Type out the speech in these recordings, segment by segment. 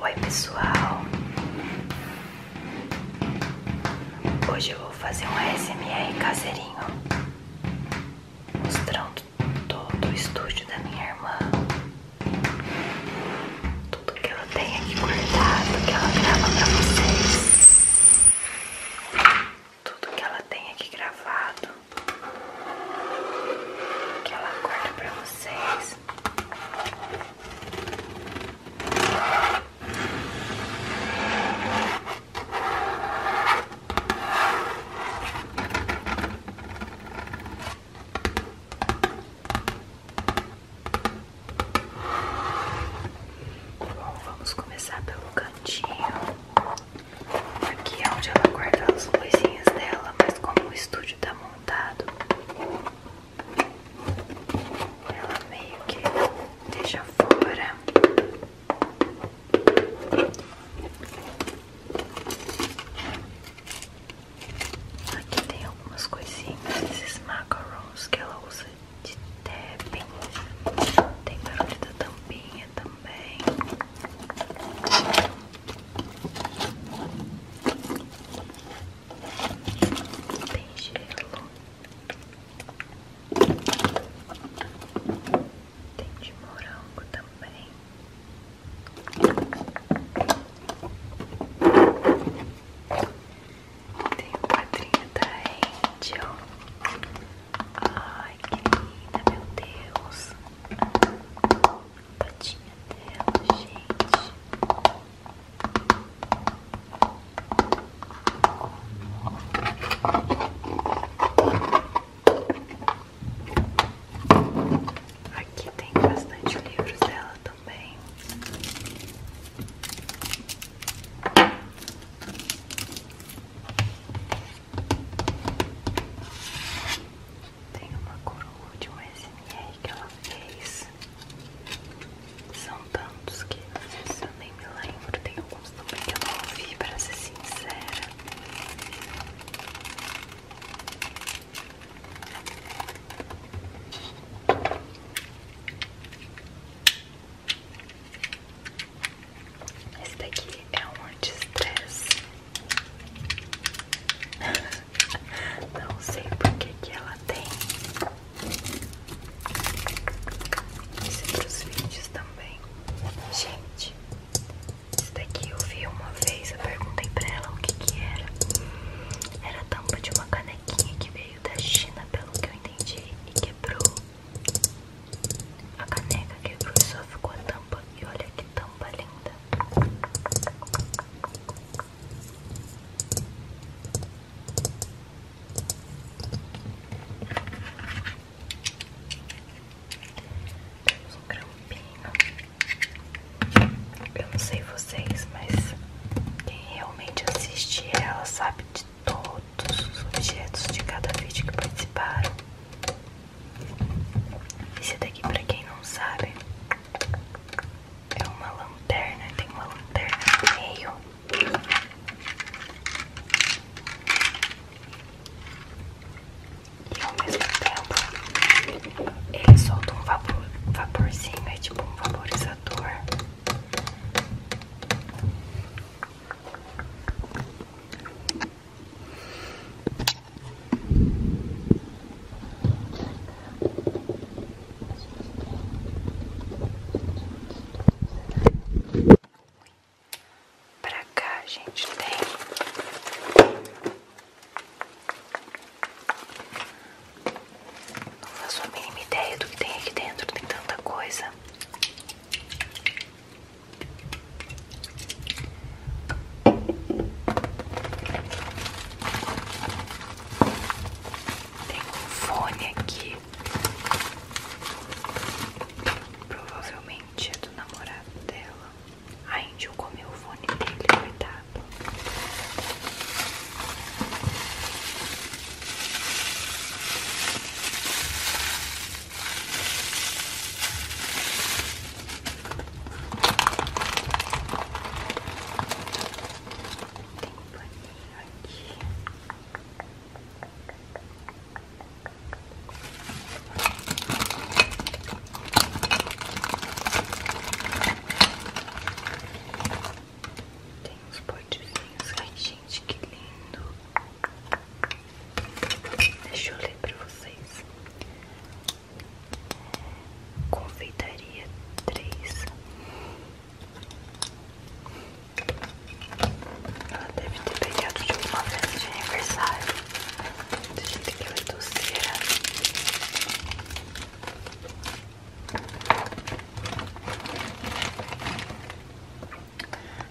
Oi pessoal, hoje eu vou fazer um ASMR caseirinho mostrando todo o estúdio da minha irmã, tudo que ela tem aqui guardado, que ela grava pra vocês, tudo que ela tem aqui gravado, que ela guarda pra vocês. Bom, vamos começar pelo cantinho. Aqui é onde ela guarda as coisinhas dela, mas como o estúdio tá montado ela meio que deixa fora. Aqui tem algumas coisinhas desses macarons que ela usa de tapping. Tem barulho da tampinha também. Tem gelo. Tem de morango também. Tem um quadrinho da Angel. Ai, que linda, meu Deus patinha dela, gente. Aqui tem bastante livros dela também. Tem uma coroa de um SMR que ela fez. São tantos que às eu nem me lembro. Tem alguns também que eu não ouvi, pra ser sincera. Esse daqui é um anti Não sei porque que ela tem isso é pros vídeos também. Gente, isso daqui eu vi uma vez, eu perguntei para ela o que que era. Era a tampa de uma canequinha que veio da China, pelo que eu entendi, e quebrou. A caneca quebrou e só ficou a tampa. E olha que tampa linda. Temos um grampinho. Eu não sei vocês, mas quem realmente assiste ela sabe de todos os objetos de cada vídeo que participaram. Esse daqui, pra quem não sabe, é uma lanterna. Tem uma lanterna no meio. E ao mesmo tempo, ele solta um vapor, vaporzinho, é tipo um vaporizador. Pra cá gente tem não faço a mínima ideia do que tem aqui dentro, tem tanta coisa. Tem um fone aqui. Provavelmente é do namorado dela. A eu comeu o fone dele, cuidado. Tem aqui tem uns potezinhos. Ai, gente, que lindo. Deixa eu ler pra vocês. Confeitaria 3. Ela deve ter pegado de uma vez de aniversário. Do jeito que ela é doceira.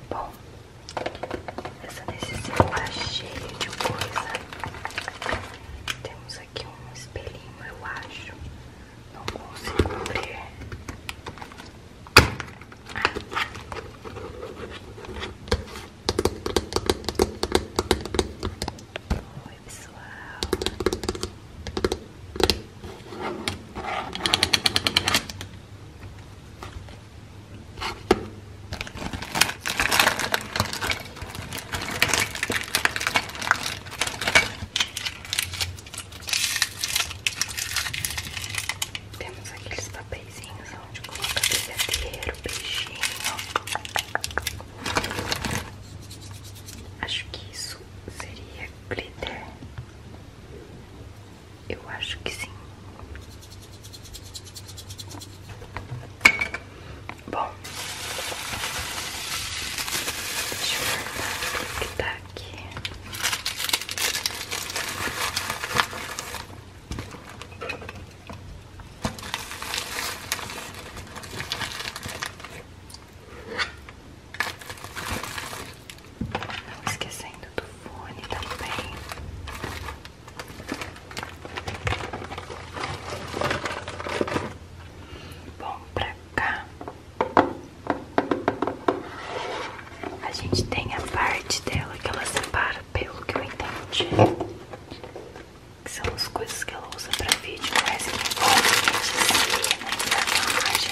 Bom, essa necessidade tá cheia de coisa. Temos aqui um espelhinho, eu acho. Não consigo abrir. Oi, pessoal. Temos aqueles papeizinhos onde colocar brigadeiro, peixinho. Acho que isso seria glitter. Eu acho que sim. Bom, deixa eu ver o que tá aqui. Não esquecendo do fone também. Bom, pra cá a gente tem a parte dela que ela separa, pelo que eu entendi. Que são as coisas que ela usa pra vídeo, mas que a gente se na né, imagem.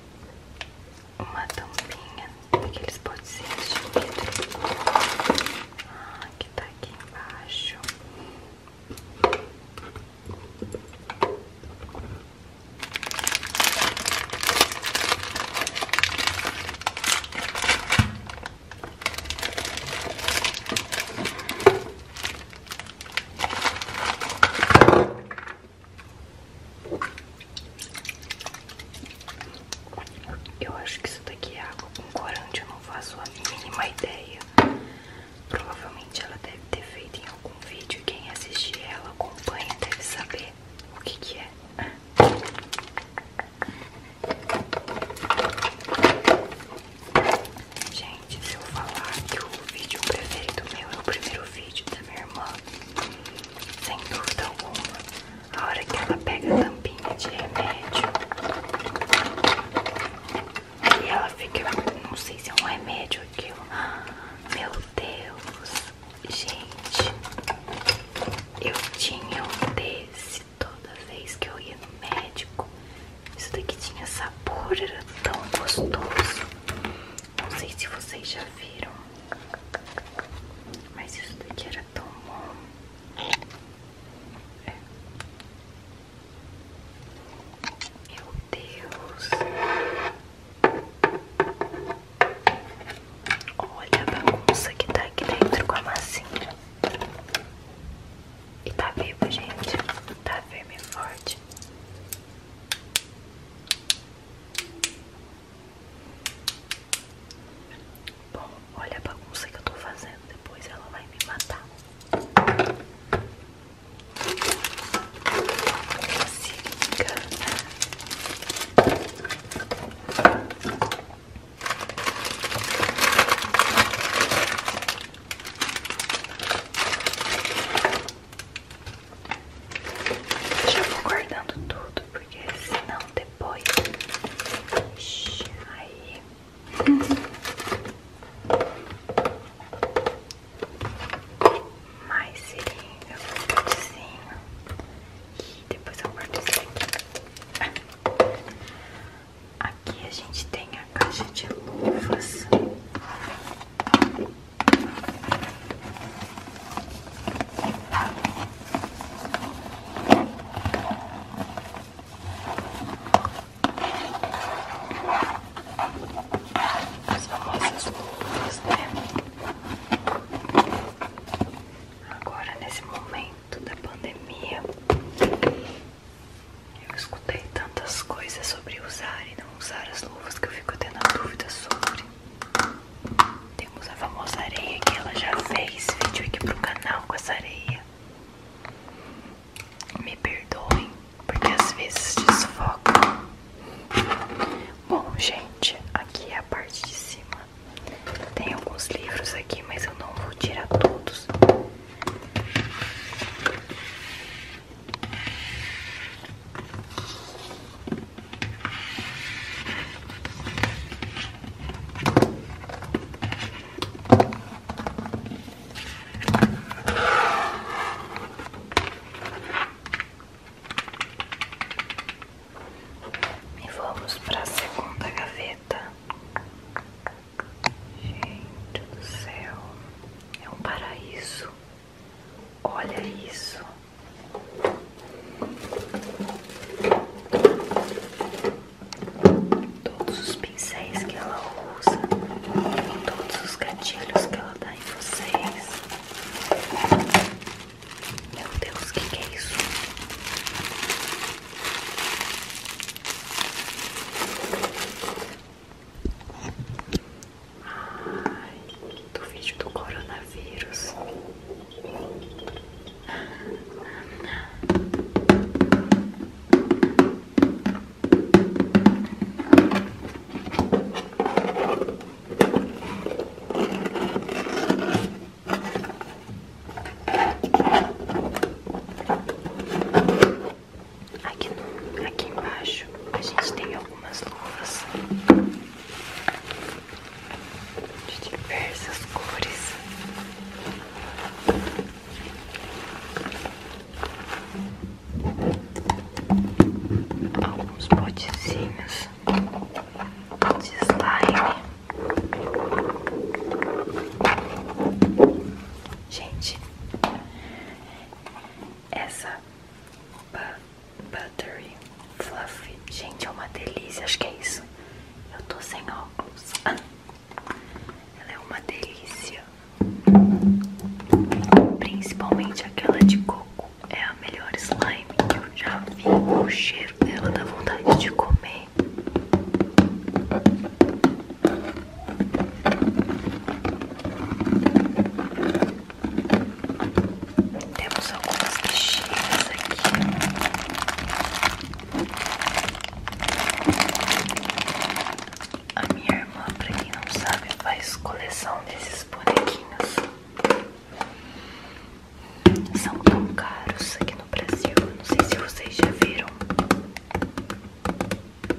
uma tampinha, aqueles potezinhos de vidro ah, que tá aqui embaixo. Eu acho que isso daqui é água com corante, eu não faço a mínima ideia. Provavelmente ela deve ter feito em algum vídeo. Quem assistir ela acompanha deve saber o que, que é. Gente, se eu falar que o vídeo preferido meu é o primeiro vídeo da minha irmã, sem dúvida alguma, a hora que ela pega a tampinha de remédio e ela fica, não sei se é um remédio ou aquilo, meu Deus, gente, eu tinha um desse toda vez que eu ia no médico. Isso daqui tinha sabor, era tão gostoso. Não sei se vocês já viram, mas isso daqui era tão bom. É. Meu Deus. Olha a bagunça que tá aqui dentro com a massinha. E tá vivo, gente. Tá firme e forte. Bom, olha a bagunça que eu estou fazendo, depois ela vai me matar já vou guardando tudo, porque senão depois. Ixi, aí. Mais seringa, um potezinho. E depois eu guardo isso aqui. Aqui a gente tem a caixa de luvas. As famosas né? Agora, nesse momento da pandemia, eu escutei tantas coisas sobre usar e não usar as luvas que eu fico tendo dúvidas sobre. Temos a famosa areia que ela já fez vídeo aqui pro canal com essa areia. Me perdoem, porque às vezes desfoca. Bom, gente, aqui é a parte de cima. Tem alguns livros aqui, mas eu não vou tirar todos. E vamos para a segunda gaveta. Gente do céu, é um paraíso. Olha isso. Todos os pincéis que ela usa, todos os gatilhos que ela dá em vocês. Meu Deus, o que, que é isso? Ai, do vídeo do coronavírus. Aqui, no, aqui embaixo a gente tem algumas luvas de diversas cores. Alguns potezinhos de slime. Gente, essa Buttery Fluffy, gente, é uma delícia, acho que é isso. Eu tô sem óculos. ela é uma delícia. Principalmente aquela de coco. É a melhor slime que eu já vi. O cheiro dela dá vontade de comer. Temos algumas bichinhas aqui. A minha irmã, pra quem não sabe, faz coleção desses bonequinhos. São tão caros aqui no Brasil. Não sei se vocês já viram de bolos.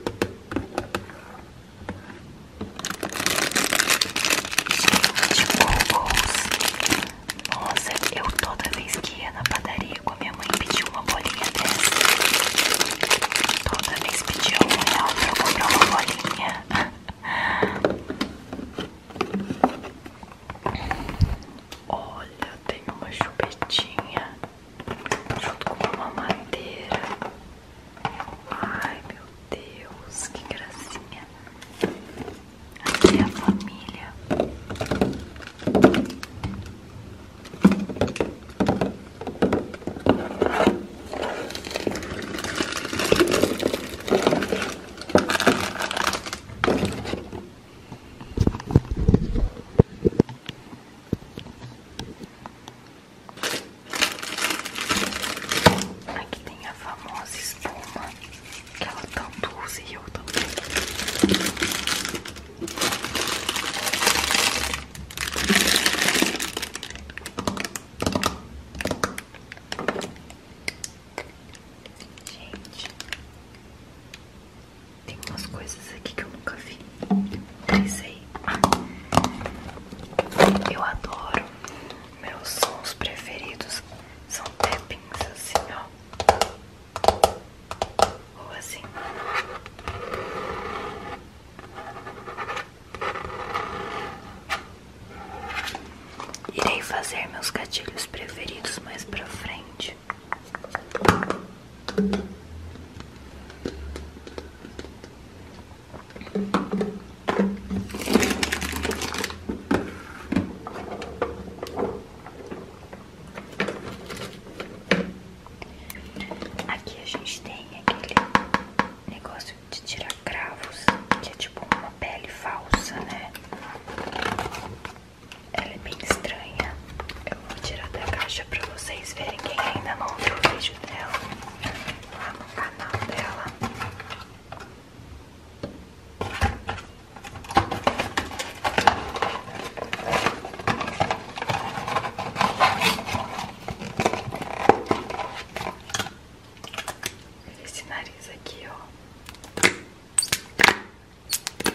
Nossa, eu toda vez que ia na padaria com a minha mãe pediu uma bolinha dessa. Toda vez pedia um real né, pra eu comprar uma bolinha. Olha, tem uma chupetinha junto com uma madeira. Ai meu Deus, que gracinha! Aqui é a família. Aqui tem a famosa espuma que ela tanto usa e eu também. Gente, tem umas coisas aqui que eu nunca vi. Trisei. Ah, eu adoro. Meus sons preferidos são tappings assim, ó. Ou assim. Irei fazer meus gatilhos preferidos mais pra frente. Aqui a gente tem aquele negócio de tirar cravos, que é tipo uma pele falsa, né? Ela é bem estranha. Eu vou tirar da caixa pra vocês verem quem ainda não viu o vídeo dela lá no canal dela. Esse nariz aqui, ó.